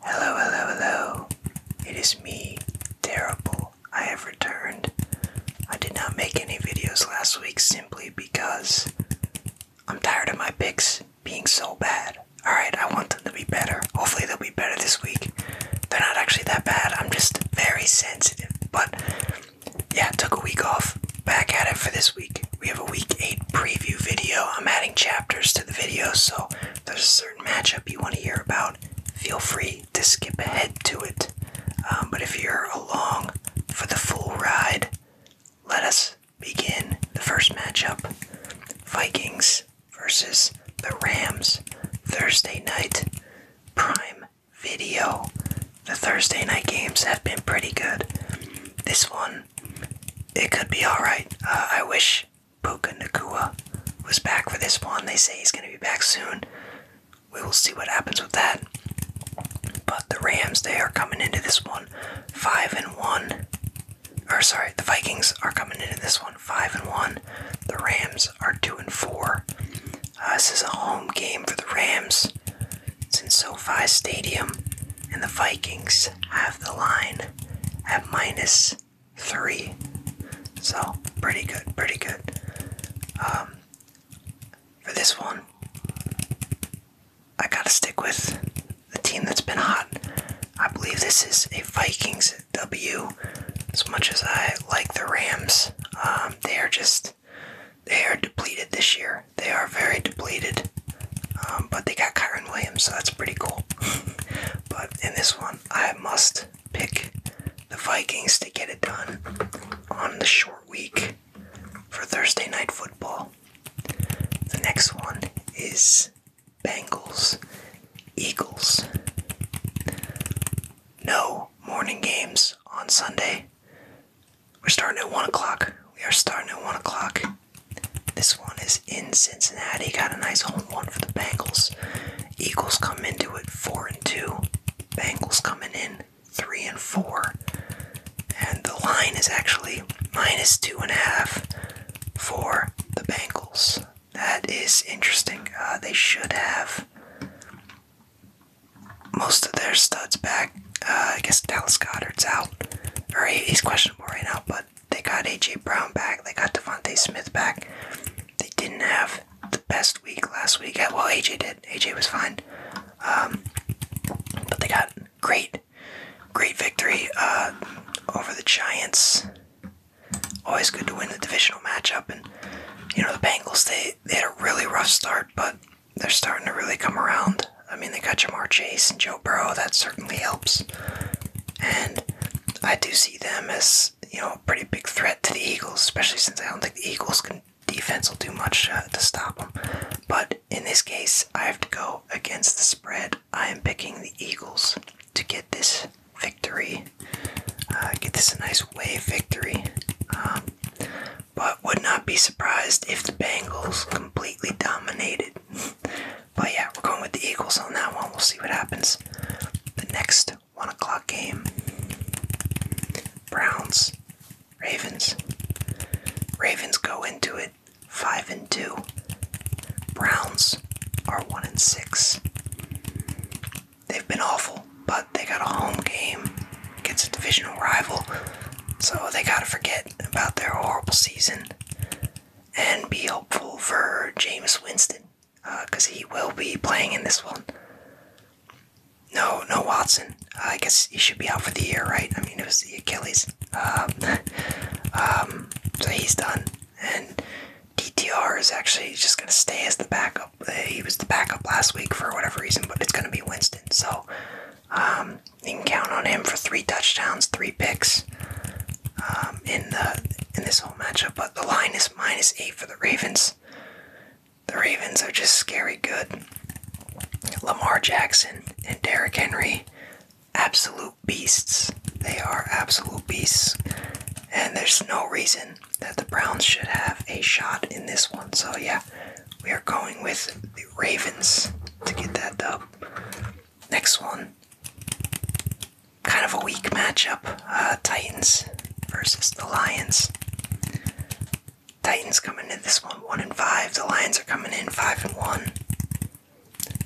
Hello, hello, hello. It is me, Terrible. I have returned. I did not make any videos last week simply because I'm tired of my picks being so bad. Alright, I want them to be better. Hopefully, they'll be better this week. They're not actually that bad. I'm just very sensitive. But yeah, took a week off. Back at it for this week. We have a week eight preview video. I'm adding chapters to the video, so there's a certain matchup you want to hear about, feel free to skip ahead to it. Um, but if you're along for the full ride, let us begin the first matchup Vikings versus the Rams, Thursday night, prime video. The Thursday night games have been pretty good. This one, it could be alright. Uh, I wish Puka Nakua was back for this one. They say he's going to be back soon. We will see what happens with that. But the Rams, they are coming into this one 5 and 1. Or sorry, the Vikings are coming into this one 5 and 1. The Rams are 2 and 4. Uh, this is a home game for the Rams. It's in SoFi Stadium, and the Vikings have the line at minus three. So, pretty good, pretty good. Um, for this one, I gotta stick with the team that's been hot. I believe this is a Vikings W. As much as I like the Rams, um, they are just they are depleted this year. They are very depleted. Um, but they got Kyron Williams, so that's pretty cool. but in this one, I must pick the Vikings to get it done on the short week for Thursday night football. The next one is Bengals Eagles. No, morning games on Sunday. We're starting at 1 o'clock. We are starting at 1 o'clock. This one is in Cincinnati. Got a nice home one for the Bengals. Eagles come into it 4 and 2. Bengals coming in 3 and 4. And the line is actually minus 2.5 for the Bengals. That is interesting. Uh, they should have most of their studs back. Uh, I guess Dallas Goddard's out, or he's questionable right now. But they got AJ Brown back. They got Devontae Smith back. They didn't have the best week last week. Well, AJ did. AJ was fine. Um, but they got great, great victory uh, over the Giants. Always good to win the divisional matchup, and you know the Bengals. stay they, had a really rough start, but they're starting to really come around. I mean, they got Jamar Chase and Joe Burrow. That certainly helps. And I do see them as, you know, a pretty big threat to the Eagles, especially since I don't think the Eagles can defense will do much to stop them. But in this case, I have to go against the spread. I am picking the Eagles to get this victory victory. Uh, get this a nice wave victory. Um, but would not be surprised if the Bengals completely dominated. but yeah, we're going with the Eagles on that one. We'll see what happens. The next 1 o'clock game Browns, Ravens. Ravens go into it 5 and 2. Browns are 1 and 6 they've been awful, but they got a home game against a divisional rival, so they got to forget about their horrible season and be hopeful for Jameis Winston because uh, he will be playing in this one. No, no Watson. Uh, I guess he should be out for the year, right? I mean, it was the Achilles. um, um so he's done. And DTR is actually just going to stay as the backup. He was the backup last week for whatever reason, but it's going to be Winston. So um, you can count on him for three touchdowns, three picks um, in the in this whole matchup. But the line is minus eight for the Ravens. The Ravens are just scary good. Lamar Jackson and Derrick Henry, absolute beasts. They are absolute beasts, and there's no reason that the Browns should have a shot in this one. So, yeah, we are going with the Ravens to get that dub. Next one. Kind of a weak matchup. Uh, Titans versus the Lions. Titans coming in this one one and five. The Lions are coming in five and one.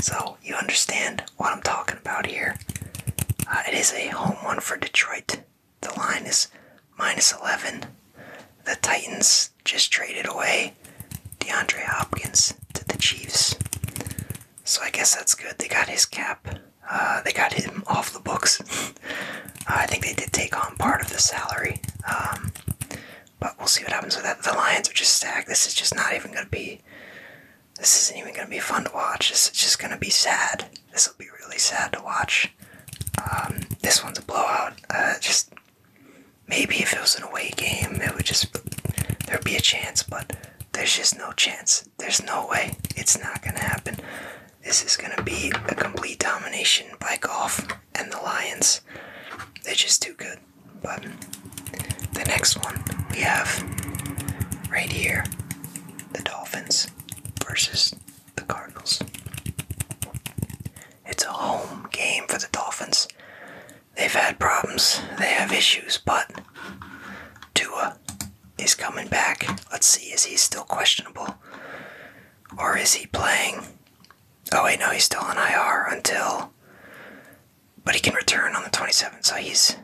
So you understand what I'm talking about here. Uh, it is a home one for Detroit. The line is minus 11. The Titans just traded away DeAndre Hopkins to the Chiefs. So I guess that's good. They got his cap. Uh, they got him off the books. Uh, I think they did take on part of the salary. Um, but we'll see what happens with that. The Lions are just stacked. This is just not even going to be. This isn't even going to be fun to watch. This is just going to be sad. This will be really sad to watch. Um, this one's a blowout. Uh, just maybe if it was an away game, it would just there'd be a chance, but there's just no chance. There's no way. It's not gonna happen. This is gonna be a complete domination by golf and the Lions. They're just too good. But the next one we have right here the Dolphins versus the Cardinals. It's a home game for the Dolphins. They've had problems, they have issues, but Tua is coming back. Let's see, is he still questionable? Or is he playing? Oh, wait, no, he's still on IR until. But he can return on the 27th, so he's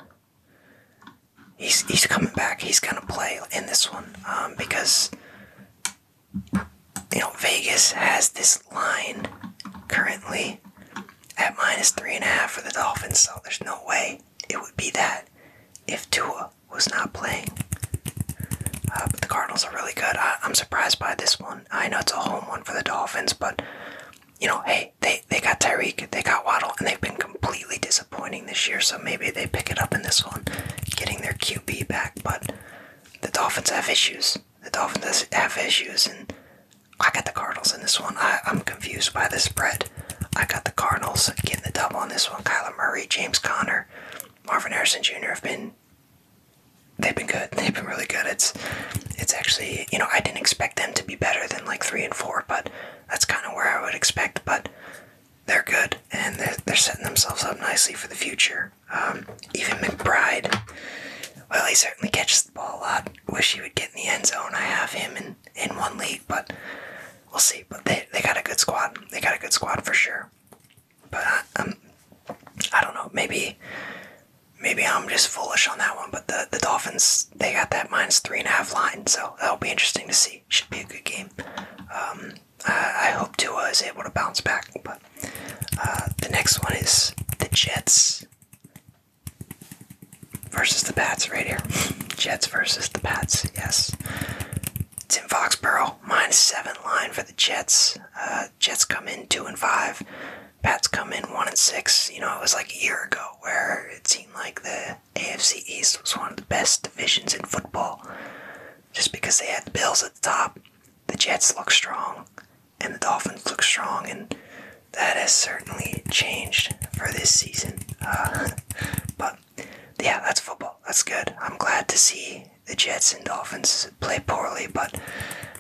he's he's coming back. He's gonna play in this one um, because you know Vegas has this line currently at minus three and a half for the Dolphins. So there's no way it would be that if Tua was not playing. Uh, but the Cardinals are really good. I, am surprised by this one. I know it's a home one for the Dolphins, but you know, hey, they they got Tyreek, they got Waddle, and they've been completely dis disappointing this year, so maybe they pick it up in this one, getting their QB back. But the Dolphins have issues. The Dolphins have issues, and I got the Cardinals in this one. I, am confused by the spread. I got the Cardinals getting the double on this one. Kyler Murray, James Connor, Marvin Harrison Jr. have been they've been good. They've been really good. It's it's actually you know I didn't expect them to be better than like three and four, but that's kind of where I would expect. But they're good and they're, they're setting themselves up nicely for the future. Um, even McBride, well, he certainly catches the ball a lot. Wish he would get in the end zone. I have him in, in one league, but we'll see. But they, they got a good squad. They got a good squad for sure. But uh, um, I don't know. Maybe maybe I'm just foolish on that one. But the, the Dolphins, they got that minus three and a half line, so that'll be interesting to see should be a good game. Um, I, hope Tua is able to bounce back. But uh, the next one is the Jets versus the Pats right here. Jets versus the Pats. Yes, it's in Foxborough. Minus seven line for the Jets. Uh, Jets come in two and five. Pats come in one and six. You know, it was like a year ago where it seemed like the AFC East was one of the best divisions in football. Just because they had the Bills at the top, the Jets look strong, and the Dolphins look strong, and that has certainly changed for this season. Uh, but yeah, that's football. That's good. I'm glad to see the Jets and Dolphins play poorly, but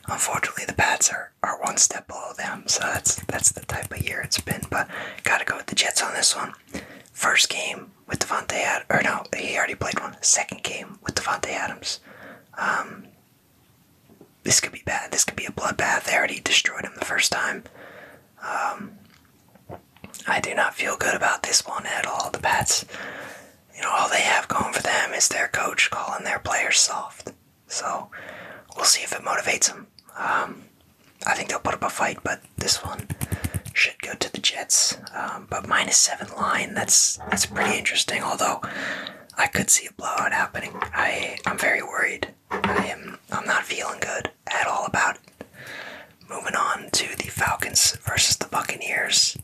unfortunately the Pats are, are one step below them, so that's that's the type of year it's been. But gotta go with the Jets on this one. First game with Devonte Adams, or no, he already played one second game with Devonte Adams. Um, this could be bad. This could be a bloodbath. They already destroyed him the first time. Um, I do not feel good about this one at all. The Pats, you know, all they have going for them is their coach calling their players soft. So we'll see if it motivates them. Um, I think they'll put up a fight, but this one should go to the Jets. Um, but minus seven line, that's that's pretty interesting. Although I could see a blowout happening. I I'm very worried. I am I'm not feeling good at all about Moving on to the Falcons versus the Buccaneers.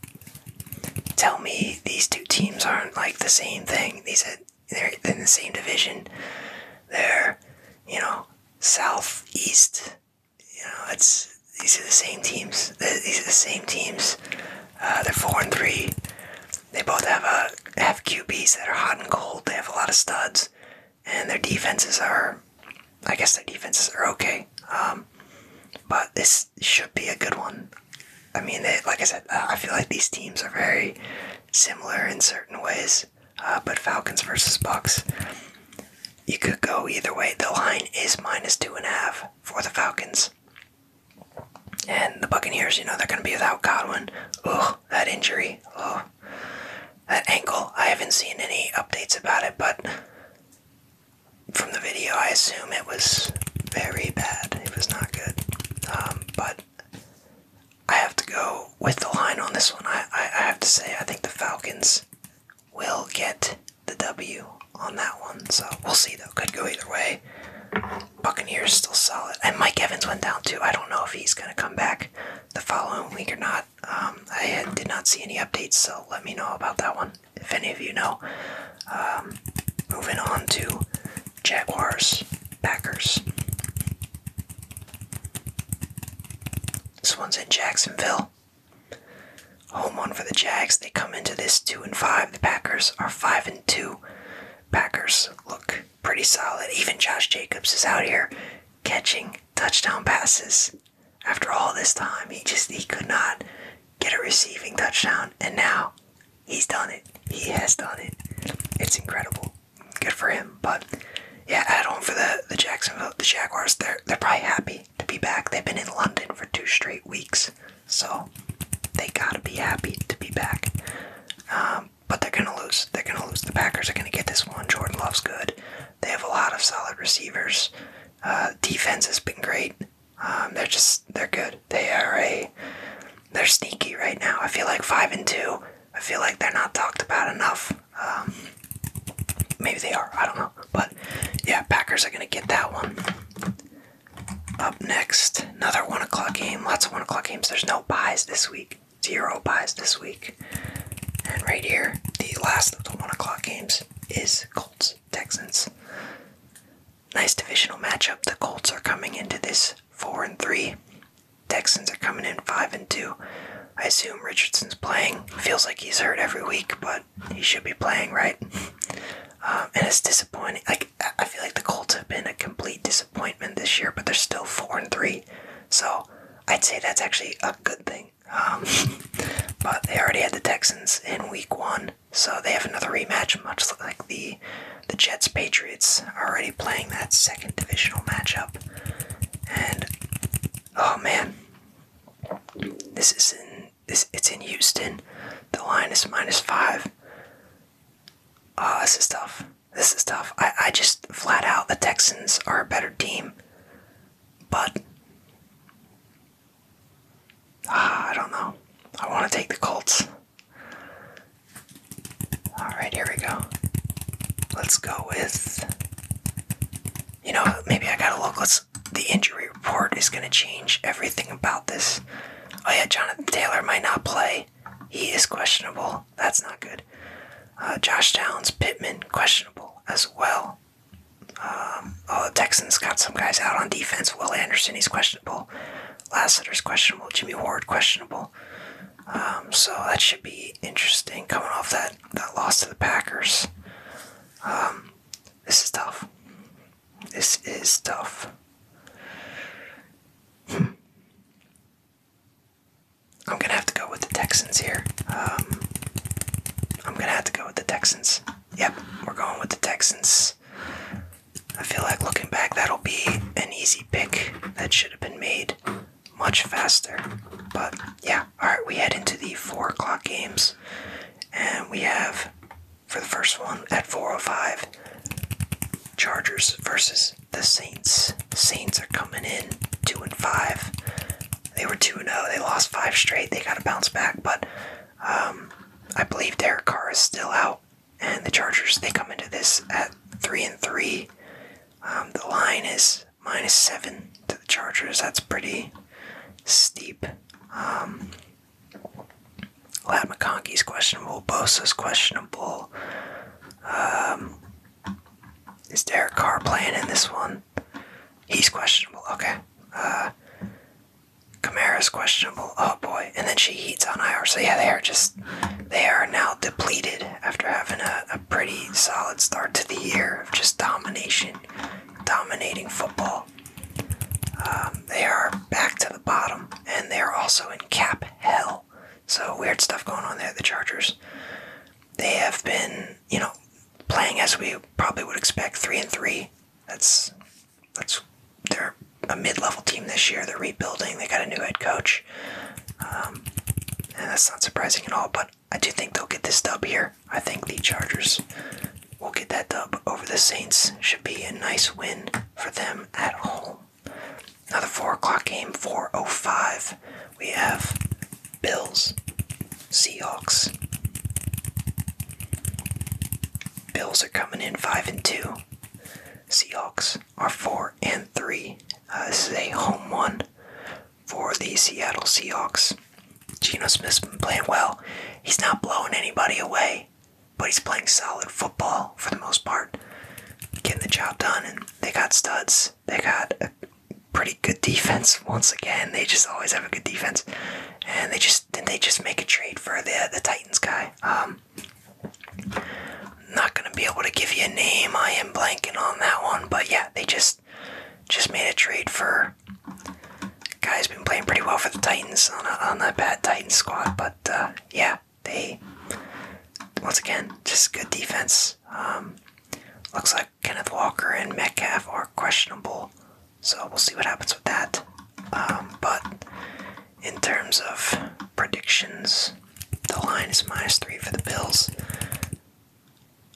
Tell me these two teams aren't like the same thing. These they're in the same division. They're you know southeast you know, that's these are the same teams. These are the same teams. Uh, they're four and three. They both have a uh, have QBs that are hot and cold. They have a lot of studs, and their defenses are, I guess their defenses are okay. Um, but this should be a good one. I mean, like I said, I feel like these teams are very similar in certain ways. Uh, but Falcons versus Bucks. You could go either way. The line is minus two and a half for the Falcons. And the Buccaneers, you know, they're going to be without Godwin. Ugh, that injury. Ugh. That ankle, I haven't seen any updates about it, but from the video, I assume it was very bad. It was not good. Um, but I have to go with the line on this one. I, I have to say, I think the Falcons will get the W on that one. So we'll see though. Could go either way. Buccaneers still solid. And Mike Evans went down too. I don't know if he's gonna come back the following week or not. Um, I did not see any updates, so let me know about that one if any of you know. Um, moving on to Jaguars Packers. This one's in Jacksonville. Home one for the Jags. They come into this two and five. The Packers are five and two. Packers look pretty solid. Even Josh Jacobs is out here catching touchdown passes. After all this time, he just he could not get a receiving touchdown, and now he's done it. He has done it. It's incredible. Good for him. But yeah, at home for the the Jacksonville the Jaguars. They're they're probably happy to be back. They've been in London for two straight weeks, so they gotta be happy to be back. Um, but they're gonna lose. They're gonna lose. The Packers are gonna get this one. Jordan Love's good. They have a lot of solid receivers. Uh, defense has been great. Um, they're just they're good. They are a they're sneaky right now. I feel like five and two. I feel like they're not talked about enough. Um, maybe they are. I don't know. But yeah, Packers are going to get that one. Up next, another one o'clock game. Lots of one o'clock games. There's no buys this week. Zero buys this week. And right here, the last of the one o'clock games is Colts Texans. Nice divisional matchup. The Colts are coming into this four and three. Texans are coming in five and two. I assume Richardson's playing. Feels like he's hurt every week, but he should be playing, right? Um, and it's disappointing. Like I feel like the Colts have been a complete disappointment this year, but they're still four and three. So I'd say that's actually a good thing. Um, but they already had the Texans in Week One, so they have another rematch, much like the the Jets Patriots already playing that second divisional matchup. And oh man, this is in this it's in Houston. The line is minus five. Oh, this is tough. This is tough. I, I just flat out the Texans are a better team. But ah, I don't know. I want to take the Colts. Alright, here we go. Let's go with you know, maybe I got a look. Let's. The injury report is gonna change everything about this. Oh yeah, Jonathan Taylor might not play. He is questionable. That's not good. Uh, Josh Downs, Pittman, questionable as well. Um, oh, the Texans got some guys out on defense. Will Anderson, he's questionable. Lassiter's questionable. Jimmy Ward, questionable. Um, so that should be interesting. Coming off that that that loss to the Packers. Um, this is tough. This is tough. Hmm. I'm gonna have to go with the Texans here. Um, I'm gonna have to go with the Texans. Yep, we're going with the Texans. I feel like looking back, that'll be an easy pick that should have been made much faster. But yeah, all right, we head into the four o'clock games, and we have for the first one at 4:05, Chargers versus the Saints. Saints are coming in two and five. They were two and zero. Oh, they lost five straight. They got to bounce back, but um, I believe Derek Carr is still out, and the Chargers they come into this at three and three. Um, the line is minus seven to the Chargers. That's pretty steep. Um, Lad McConkey's questionable. Bosa's questionable. Um, is Derek Carr playing in this one? He's questionable. Okay. Uh, questionable. Oh boy. And then she heats on IR. So yeah, they are just they are now depleted after having a, pretty solid start to the year of just domination, dominating football. Um, they are back to the bottom, and they are also in cap hell. So weird stuff going on there. The Chargers, they have been, you know, playing as we probably would expect, three and three. That's that's they're a mid-level team this year. They're rebuilding. They got a new head coach, um, and that's not surprising at all. But I do think they'll get this dub here. I think the Chargers will get that dub over the Saints. Should be a nice win for them at home. Now the 4 o'clock game, 4.05. We have Bills, Seahawks. Bills are coming in 5 and 2. Seahawks are 4 and 3. Uh, this is a home one for the Seattle Seahawks. Geno Smith's been playing well. He's not blowing anybody away, but he's playing solid football for the most part. Getting the job done, and they got studs. They got a pretty good defense once again. They just always have a good defense, and they just did they just make a trade for the the Titans guy. Um, I'm not gonna be able to give you a name. I am blanking on that one, but yeah, they just just made a trade for guy's been playing pretty well for the Titans on a, that bad Titans squad, but uh, yeah, they once again just good defense. Um, looks like Kenneth Walker and Metcalf are questionable, so we'll see what happens with that. Um, but in terms of predictions, the line is minus three for the Bills.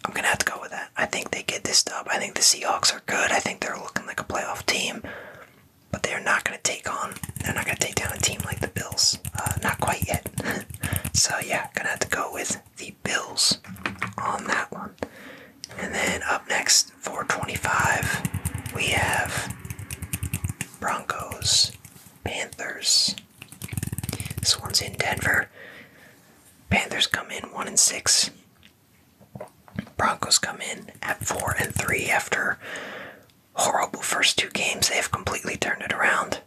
I'm gonna have to go with that. I think they get this dub. I think the Seahawks are good. I think they're looking like a playoff team, but they're not gonna take on. They're not gonna take down a team like the Bills. Uh, not quite yet. so yeah, gonna have to go with the Bills on that one. And then up next, for twenty five, we have Broncos, Panthers. This one's in Denver. Panthers come in one and six. Broncos come in at four and three after horrible first two games. They have completely turned it around.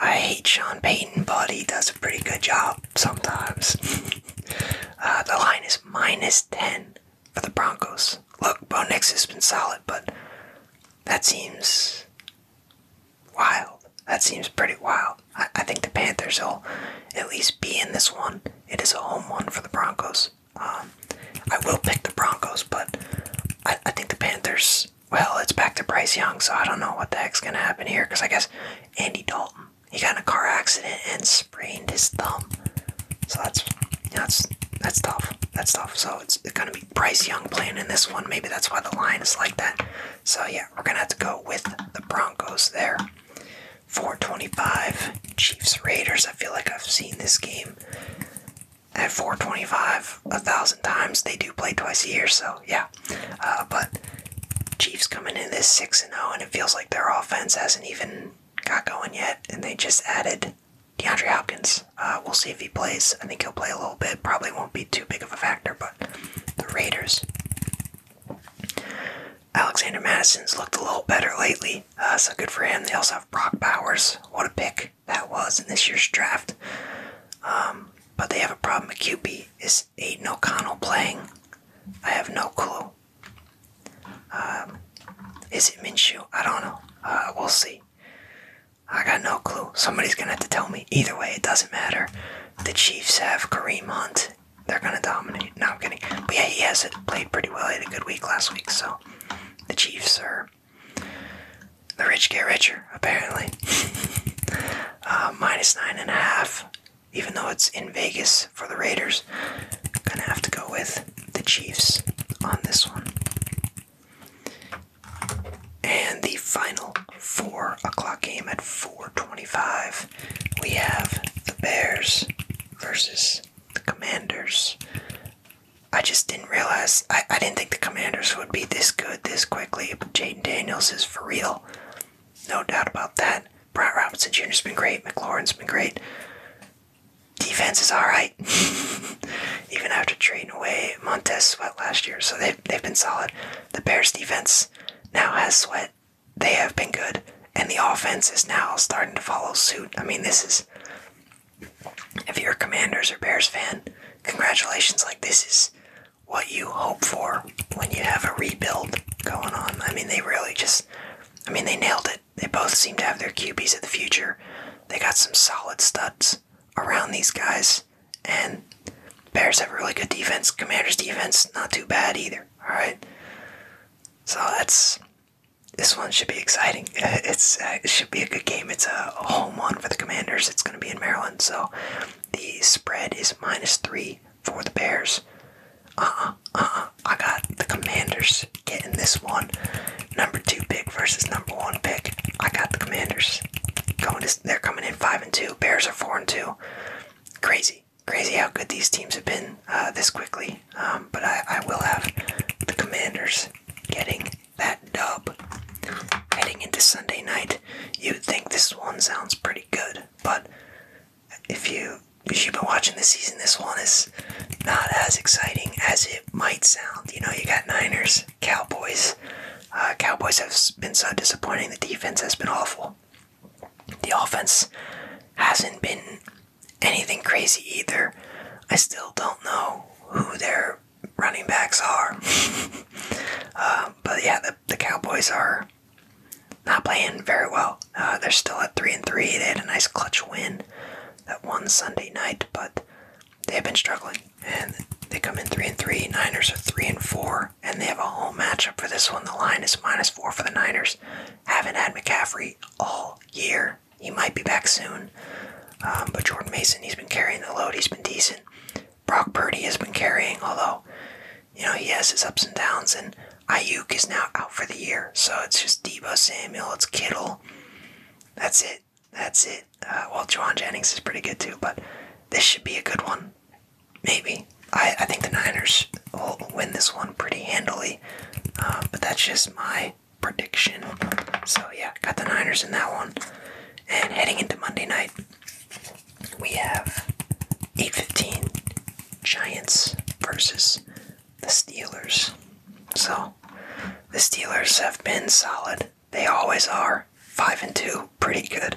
I hate Sean Payton, but he does a pretty good job sometimes. Uh, the line is minus 10 for the Broncos. Look, Bo Nix has been solid, but that seems Wild. That seems pretty wild. I, I think the Panthers will at least be in this one. It is a home one for the Broncos. Um, I will pick the Broncos, but I, I think the Panthers. Well, it's back to Bryce Young, so I don't know what the heck's gonna happen here. Cause I guess Andy Dalton he got in a car accident and sprained his thumb. So that's that's that's tough. That's tough. So it's, it's gonna be Bryce Young playing in this one. Maybe that's why the line is like that. So yeah, we're gonna have to go with the Broncos there. 425 Chiefs Raiders. I feel like I've seen this game at 425 a thousand times. They do play twice a year, so yeah. Uh, but Chiefs coming in this 6 and 0, and it feels like their offense hasn't even got going yet, and they just added DeAndre Hopkins. Uh, we'll see if he plays. I think he'll play a little bit, probably won't be too big of a factor, but the Raiders. Alexander Madison's looked a little better lately, uh, so good for him. They also have Brock Bowers. What a pick that was in this year's draft. Um, but they have a problem with QB. Is Aiden O'Connell playing? I have no clue. Um, is it Minshew? I don't know. Uh, we'll see. I got no clue. Somebody's gonna have to tell me. Either way, it doesn't matter. The Chiefs have Kareem Hunt. They're going to dominate. No, I'm kidding. But yeah, he has played pretty well. He had a good week last week, so the Chiefs are. The rich get richer, apparently. Uh, minus nine and a half, even though it's in Vegas for the Raiders. Gonna have to go with the Chiefs on this one. And the final four o'clock game at 425. We have the Bears versus the Commanders. I just didn't realize I, I didn't think the commanders would be this good this quickly, but Jaden Daniels is for real. No doubt about that. Brad Robinson Jr.'s been great, McLaurin's been great. Defense is alright. Even after trading away Montez Sweat last year, so they they've been solid. The Bears defense now has sweat. They have been good. And the offense is now starting to follow suit. I mean, this is. If you're a Commanders or Bears fan, congratulations. Like, this is what you hope for when you have a rebuild going on. I mean, they really just. I mean, they nailed it. They both seem to have their QBs of the future. They got some solid studs around these guys and Bears have really good defense. Commanders defense not too bad either. All right, so that's this one should be exciting. It's uh, it should be a good game. It's a home one for the Commanders. It's going to be in Maryland, so the spread is minus three for the Bears. Uh-uh, uh-uh. I got the Commanders getting this one. Number two pick versus number one pick. I got the Commanders going. To, they're coming in 5 seven two. Bears are four and two. Crazy, crazy how good these teams have been uh, this quickly. Um, but I, I will have the Commanders getting that dub. Heading into Sunday night, you'd think this one sounds pretty good, but if you if you've been watching the season, this one is not as exciting as it might sound. You know, you got Niners Cowboys. Uh, Cowboys have been so disappointing. The defense has been awful. The offense hasn't been anything crazy either. I still don't know who their running backs are. Uh, but yeah, the, the Cowboys are not playing very well. Uh, they're still at three and three. They had a nice clutch win that one Sunday night, but they've been struggling and they come in three and three. Niners are three and four, and they have a home matchup for this one. The line is minus four for the Niners. Haven't had McCaffrey all year. He might be back soon, um, but Jordan Mason, he's been carrying the load. He's been decent. Brock Purdy has been carrying, although you know he has his ups and downs. And Ayuk is now out for the year, so it's just Debo Samuel, it's Kittle. That's it. That's it. Uh, well, Juwan Jennings is pretty good too, but this should be a good one maybe. I, I think the Niners will win this one pretty handily, uh, but that's just my prediction. So, yeah, got the Niners in that one. And heading into Monday night, we have 8:15 Giants versus the Steelers. So, the Steelers have been solid they always are. Five and two, pretty good.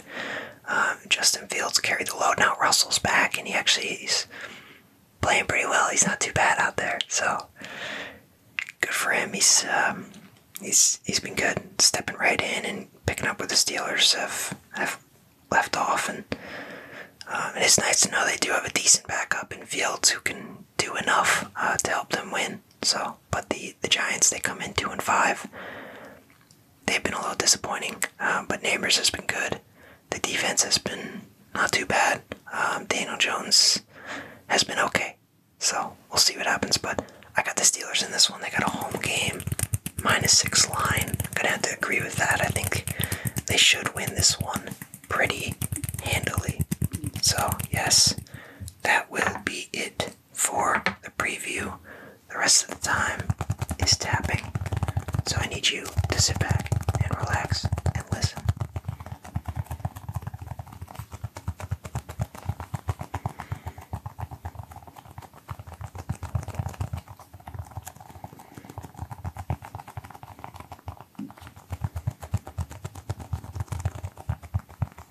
Um, Justin Fields carried the load. Now Russell's back, and he actually he's playing pretty well. He's not too bad out there, so good for him. He's um, he's he's been good, stepping right in and picking up with the Steelers have have left off, and um, it's nice to know they do have a decent backup in Fields who can do enough uh, to help them win. So, but the the Giants they come in two and five they've been a little disappointing, um, but Neighbors has been good. The defense has been not too bad. Um, Daniel Jones has been okay. So we'll see what happens. But I got the Steelers in this one. They got a home game, minus six line. I'm gonna have to agree with that. I think they should win this one pretty handily. So yes, that will be it for the preview the rest of the time is tapping. So I need you to sit back and relax and listen.